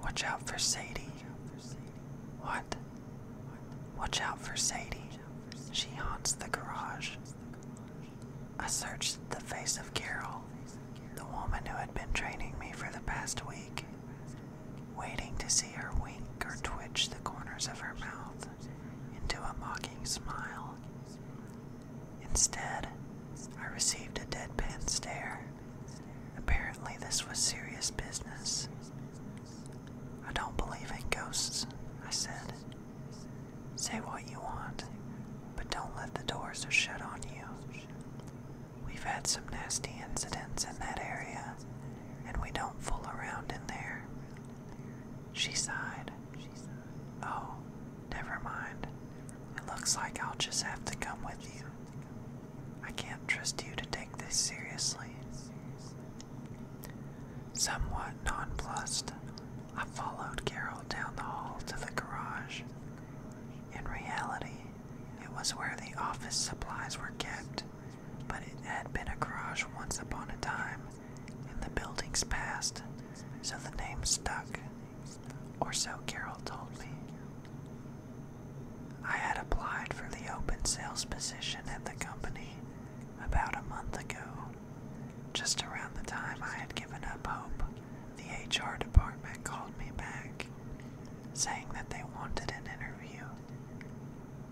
Watch out for Sadie. What? Watch out for Sadie. She haunts the garage. I searched the face of Carol, the woman who had been training me for the past week, waiting to see her wink or twitch the corners of her mouth into a mocking smile. Instead, I received a deadpan stare Apparently, this was serious business. I don't believe in ghosts, I said. Say what you want, but don't let the doors shut on you. We've had some nasty incidents in that area, and we don't fool around in there. She sighed. Oh, never mind. It looks like I'll just have to come with you. I can't trust you to take this seriously. Somewhat nonplussed, I followed Carol down the hall to the garage. In reality, it was where the office supplies were kept, but it had been a garage once upon a time in the building's past, so the name stuck, or so Carol told me. I had applied for the open sales position at the company about a month ago, just around the time I had given up hope. The HR department called me back, saying that they wanted an interview.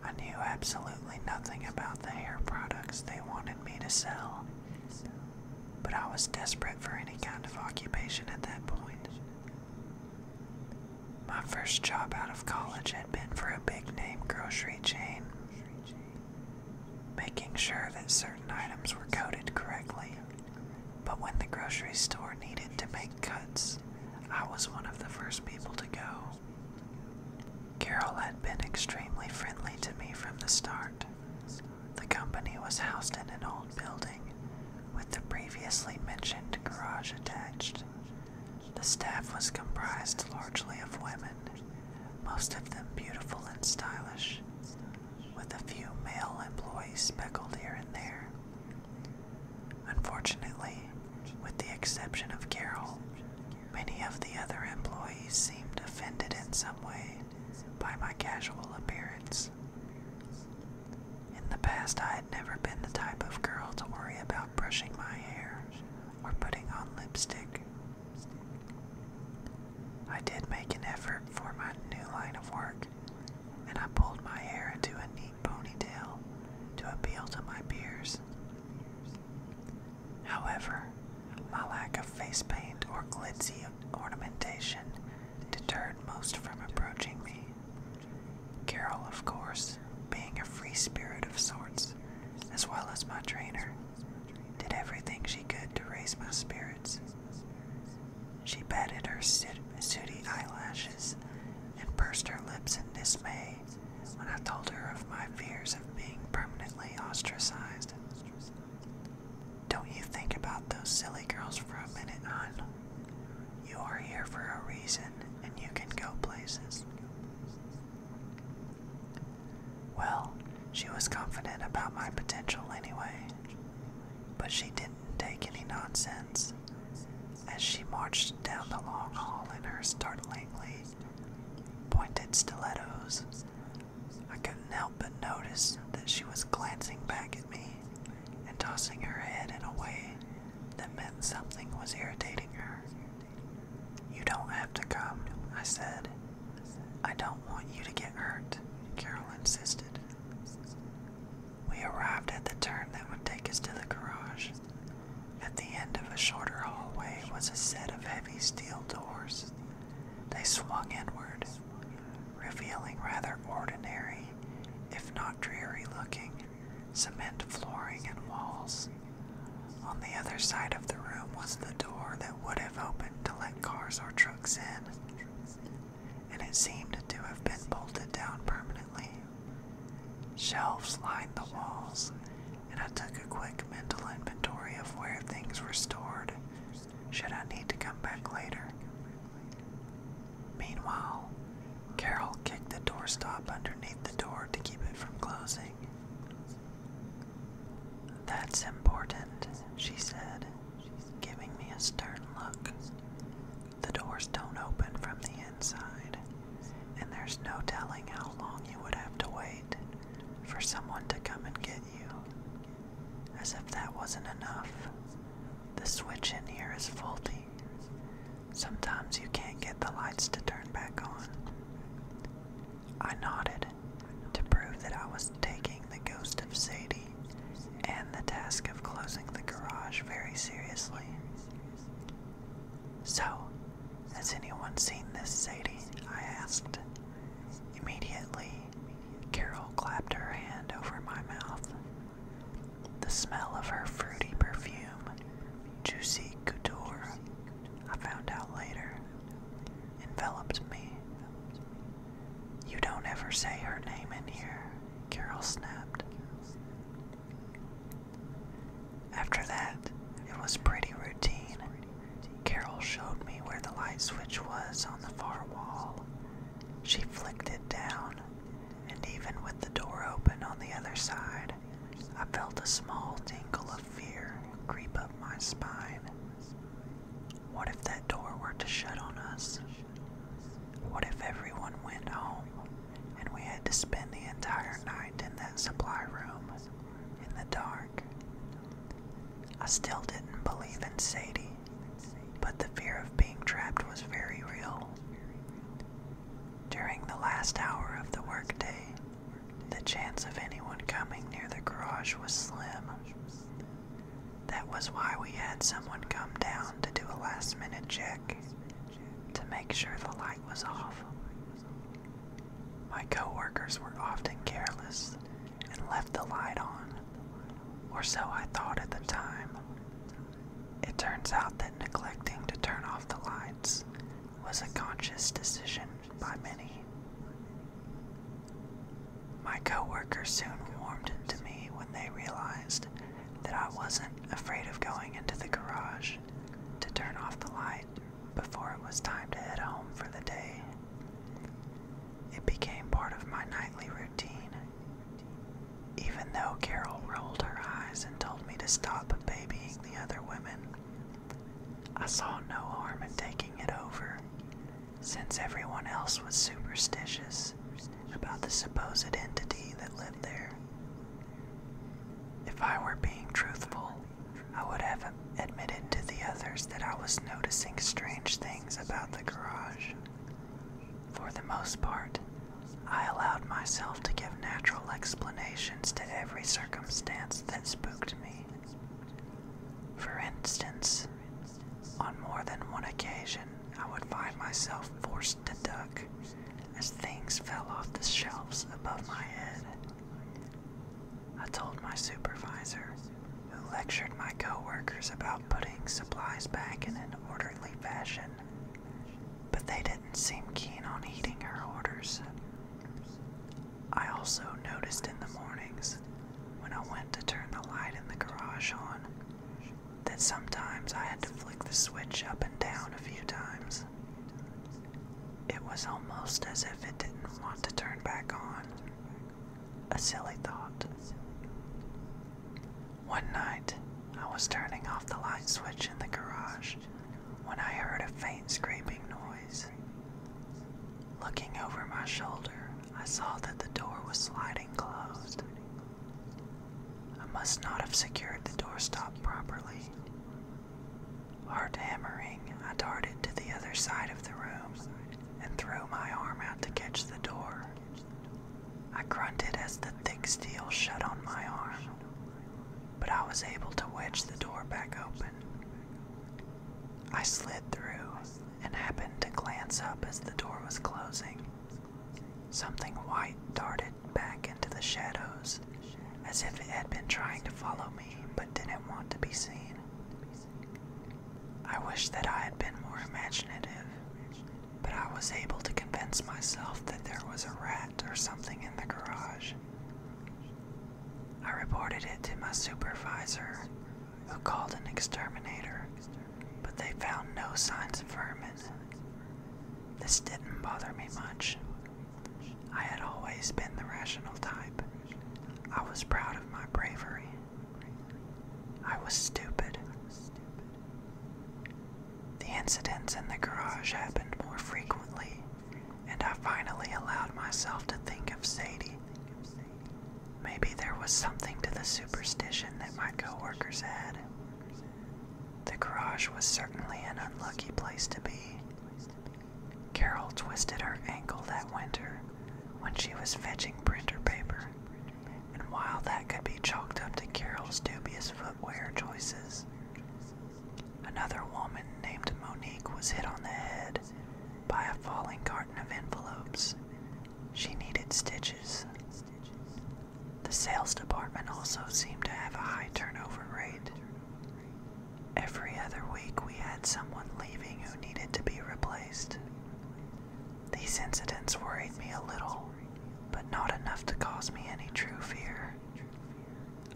I knew absolutely nothing about the hair products they wanted me to sell, but I was desperate for any kind of occupation at that point. My first job out of college had been for a big name grocery chain, making sure that certain items were coded correctly. But when the grocery store needed to make cuts, I was one of the first people to go. Carol had been extremely friendly to me from the start. The company was housed in an old building with the previously mentioned garage attached. The staff was comprised largely of women, most of them beautiful and stylish, with a few male employees speckled here and there. Unfortunately, with the exception of Carol, many of the other employees seemed offended in some way by my casual appearance. In the past, I had never been the type of girl to worry about brushing my hair or putting on lipstick. I did make an effort for my new line of work, and I pulled my hair into a neat ponytail to appeal to my peers. However, my lack of face paint or glitzy ornamentation deterred most from approaching me. Carol, of course, being a free spirit of sorts, as well as my trainer, did everything she could to raise my spirits. She patted her sooty eyelashes and pursed her lips in dismay when I told her of my fears of being permanently ostracized. Don't you think about those silly girls for a minute, hon. You are here for a reason, and you can go places. Well, she was confident about my potential anyway, but she didn't take any nonsense. As she marched down the long hall in her startlingly pointed stilettos, I couldn't help but notice that she was glancing back at me and tossing her head in a way that meant something was irritating her. You don't have to come, I said. I don't want you to get hurt, Carol insisted. We arrived at the turn that would take us to the garage. At the end of a shorter hallway was a set of heavy steel doors. They swung inward, revealing rather ordinary, if not dreary looking, cement flooring and walls. On the other side of the room was the door that would have opened to let cars or trucks in, and it seemed to have been bolted down permanently. Shelves lined the walls, and I took a quick mental inventory of where things were stored should I need to come back later. Meanwhile, Carol kicked the doorstop underneath the door to keep it from closing. That's important, she said, giving me a stern look. The doors don't open from the inside, and there's no telling how long you would have to wait for someone to come and get you. As if that wasn't enough, the switch in here is faulty. Sometimes you can't get the lights to turn back on. I nodded to prove that I was taking the ghost of Sadie and the task of closing the garage very seriously. So, has anyone seen this Sadie? I asked. Immediately, Carol clapped her hand over my mouth. The smell of her fruity perfume, juicy couture, I found out later, enveloped me. You don't ever say her name in here, Carol snapped. After that, it was pretty routine. Carol showed me where the light switch was on the far wall. She flicked it down, and even with the door open on the other side, I felt a small tingle of fear creep up my spine. What if that door were to shut on us? What if everyone went home and we had to spend the entire night in that supply room in the dark? I still didn't believe in Sadie, but the fear of being trapped was very real. During the last hour of the workday, the chance of anyone coming near the garage was slim. That was why we had someone come down to do a last minute check to make sure the light was off. My coworkers were often careless and left the light on, or so I thought at the time. It turns out that neglecting to turn off the lights was a conscious decision by many. My coworkers soon warmed to me when they realized that I wasn't afraid of going into the garage to turn off the light before it was time to head home for the day. It became part of my nightly routine. Even though Carol rolled her eyes and told me to stop babying the other women, I saw no harm in taking it over, since everyone else was superstitious about the supposed entity that lived there. If I were being truthful, I would have admitted to the others that I was noticing strange things about the garage. For the most part, I allowed myself to give natural explanations to every circumstance that spooked me. For instance, on more than one occasion, I would find myself forced to duck as things fell off the shelves above my head. I told my supervisor, who lectured my coworkers about putting supplies back in an orderly fashion, but they didn't seem keen on heeding her orders. I also noticed in the mornings, when I went to turn the light in the garage on, that sometimes I had to flick the switch up and down a few times. It was almost as if it didn't want to turn back on. A silly thought. One night, I was turning off the light switch in the garage when I heard a faint scraping noise. Looking over my shoulder, I saw that the door was sliding closed. I must not have secured the doorstop properly, Hard hammering, I darted to the other side of the room and threw my arm out to catch the door. I grunted as the thick steel shut on my arm, but I was able to wedge the door back open. I slid through and happened to glance up as the door was closing. Something white darted back into the shadows as if it had been trying to follow me but didn't want to be seen. I wish that I had been more imaginative, but I was able to convince myself that there was a rat or something in the garage. I reported it to my supervisor, who called an exterminator, but they found no signs of vermin. This didn't bother me much, I had always been the rational type. I was proud of my bravery. I was stupid. The incidents in the garage happened more frequently, and I finally allowed myself to think of Sadie. Maybe there was something to the superstition that my coworkers had. The garage was certainly an unlucky place to be, Carol twisted her ankle that winter when she was fetching printer paper, and while that could be chalked up to Carol's dubious footwear choices, another woman named Monique was hit on the head by a falling carton of envelopes. She needed stitches. The sales department also seemed to have a high turnover rate. Every other week, we had someone leaving who needed to be replaced. These incidents worried me a little, but not enough to cause me any true fear.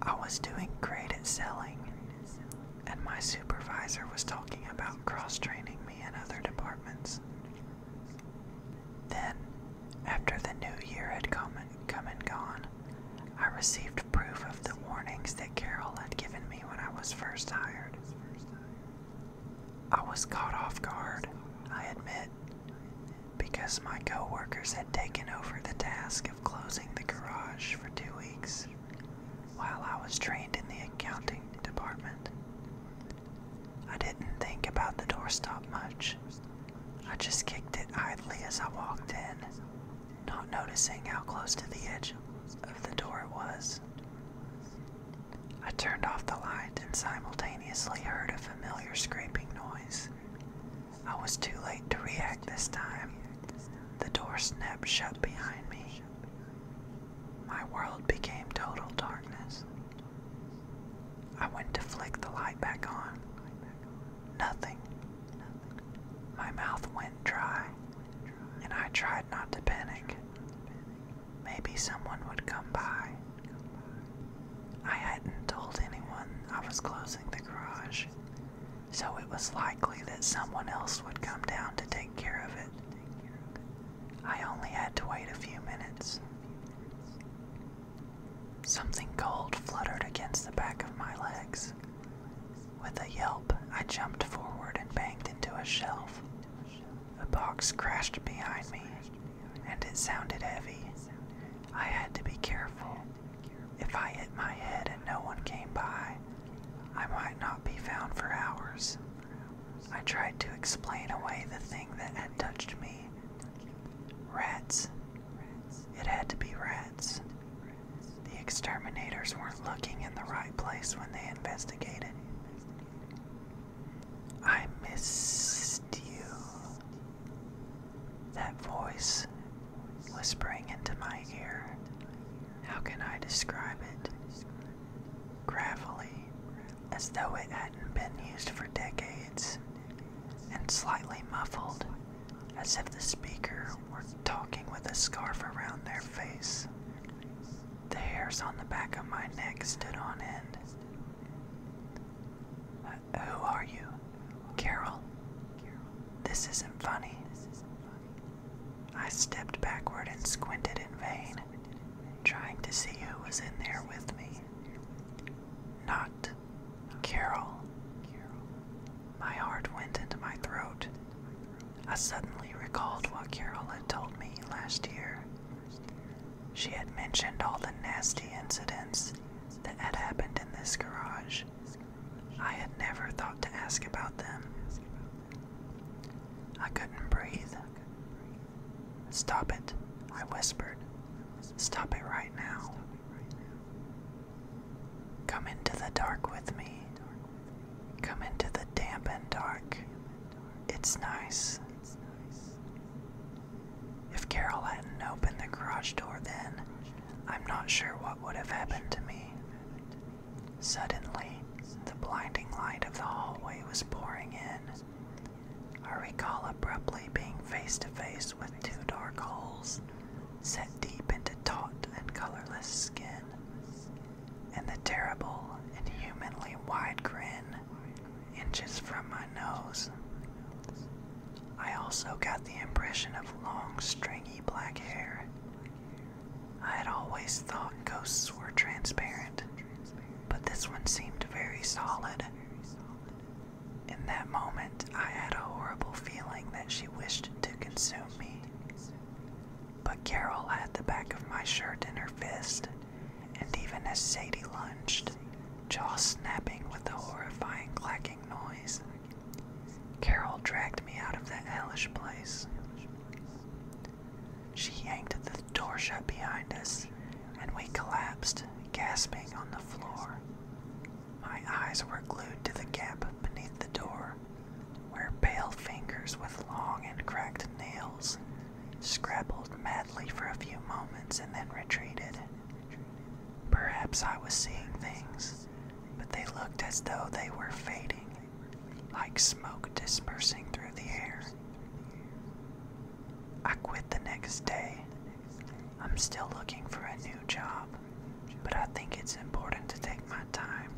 I was doing great at selling, and my supervisor was talking about cross training me in other departments. Then, after the new year had come and, come and gone, I received proof of the warnings that Carol had given me when I was first hired. I was caught off guard, I admit, because my coworkers had taken over the task of closing the garage for two weeks while I was trained in the accounting department. I didn't think about the doorstop much. I just kicked it idly as I walked in not noticing how close to the edge of the door it was. I turned off the light and simultaneously heard a familiar scraping noise. I was too late to react this time. The door snapped shut behind me. My world became total darkness. I went to flick the light back on, Nothing. My mouth went dry, and I tried not to panic. Maybe someone would come by. I hadn't told anyone I was closing the garage, so it was likely that someone else would come down to take care of it. I only had to wait a few minutes. Something cold fluttered against the back of my legs. With a yelp, I jumped forward and banged into a shelf. A box crashed behind me, and it sounded heavy. I had to be careful. If I hit my head and no one came by, I might not be found for hours. I tried to explain away the thing that had touched me. Rats, it had to be rats. The exterminators weren't looking in the right place when they investigated. I missed you. That voice whispering into my ear. How can I describe it? Gravelly, as though it hadn't been used for decades and slightly muffled, as if the speaker were talking with a scarf around their face. The hairs on the back of my neck stood on end. Uh, who are you? Carol? This isn't funny. I stepped backward and squinted in vain, trying to see who was in there with me. Not Carol. My heart went into my throat. I suddenly recalled what Carol had told me last year. She had mentioned all the nasty incidents that had happened in this garage. I had never thought to ask about them. I couldn't breathe. Stop it, I whispered. Stop it right now. Come into the dark with me. Come into the damp and dark. It's nice. If Carol hadn't opened the garage door then, I'm not sure what would have happened to me. Suddenly, the blinding light of the hallway was pouring in. I recall abruptly being face to face with two dark holes set deep into taut and colorless skin, and the terrible, inhumanly wide grin inches from my nose. I also got the impression of long, stringy black hair. I had always thought ghosts were transparent, but this one seemed very solid. In that moment, I had a horrible feeling that she wished to consume me. But Carol had the back of my shirt in her fist, and even as Sadie lunged, jaw snapping with a horrifying clacking noise, Carol dragged me out of that hellish place. She yanked the door shut behind us, and we collapsed, gasping on the floor. My eyes were glued to the gap beneath the door, where pale fingers with long and cracked nails scrabbled madly for a few moments and then retreated. Perhaps I was seeing things, but they looked as though they were fading, like smoke dispersing through the air. I quit the next day I'm still looking for a new job, but I think it's important to take my time.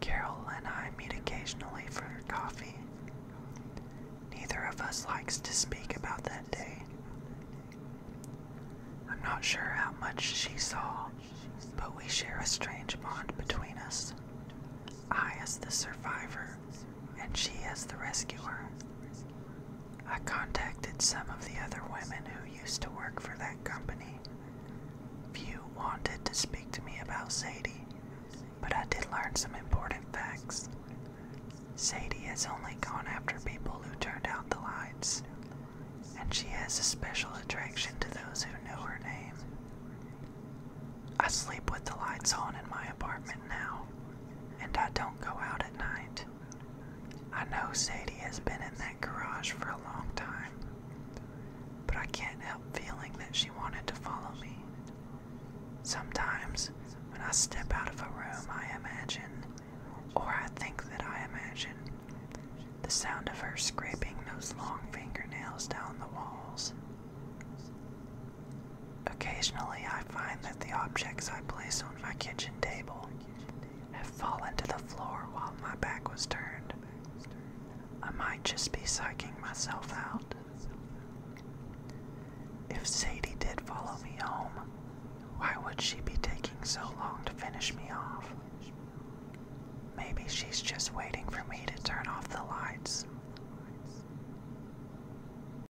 Carol and I meet occasionally for coffee. Neither of us likes to speak about that day. I'm not sure how much she saw, but we share a strange bond between us. I as the survivor, and she as the rescuer. I contacted some of the other women who used to work for that company. Few wanted to speak to me about Sadie, but I did learn some important facts. Sadie has only gone after people who turned out the lights, and she has a special attraction to those who know her name. I sleep with the lights on in my apartment now, and I don't go out at night. I know Sadie has been in that garage for a long time, but I can't help feeling that she wanted to follow me. Sometimes, when I step out of a room, I imagine, or I think that I imagine, the sound of her scraping those long fingernails down the walls. Occasionally, I find that the objects I place on my kitchen table have fallen to the floor while my back was turned. I might just be psyching myself out. If Sadie did follow me home, why would she be taking so long to finish me off? Maybe she's just waiting for me to turn off the lights.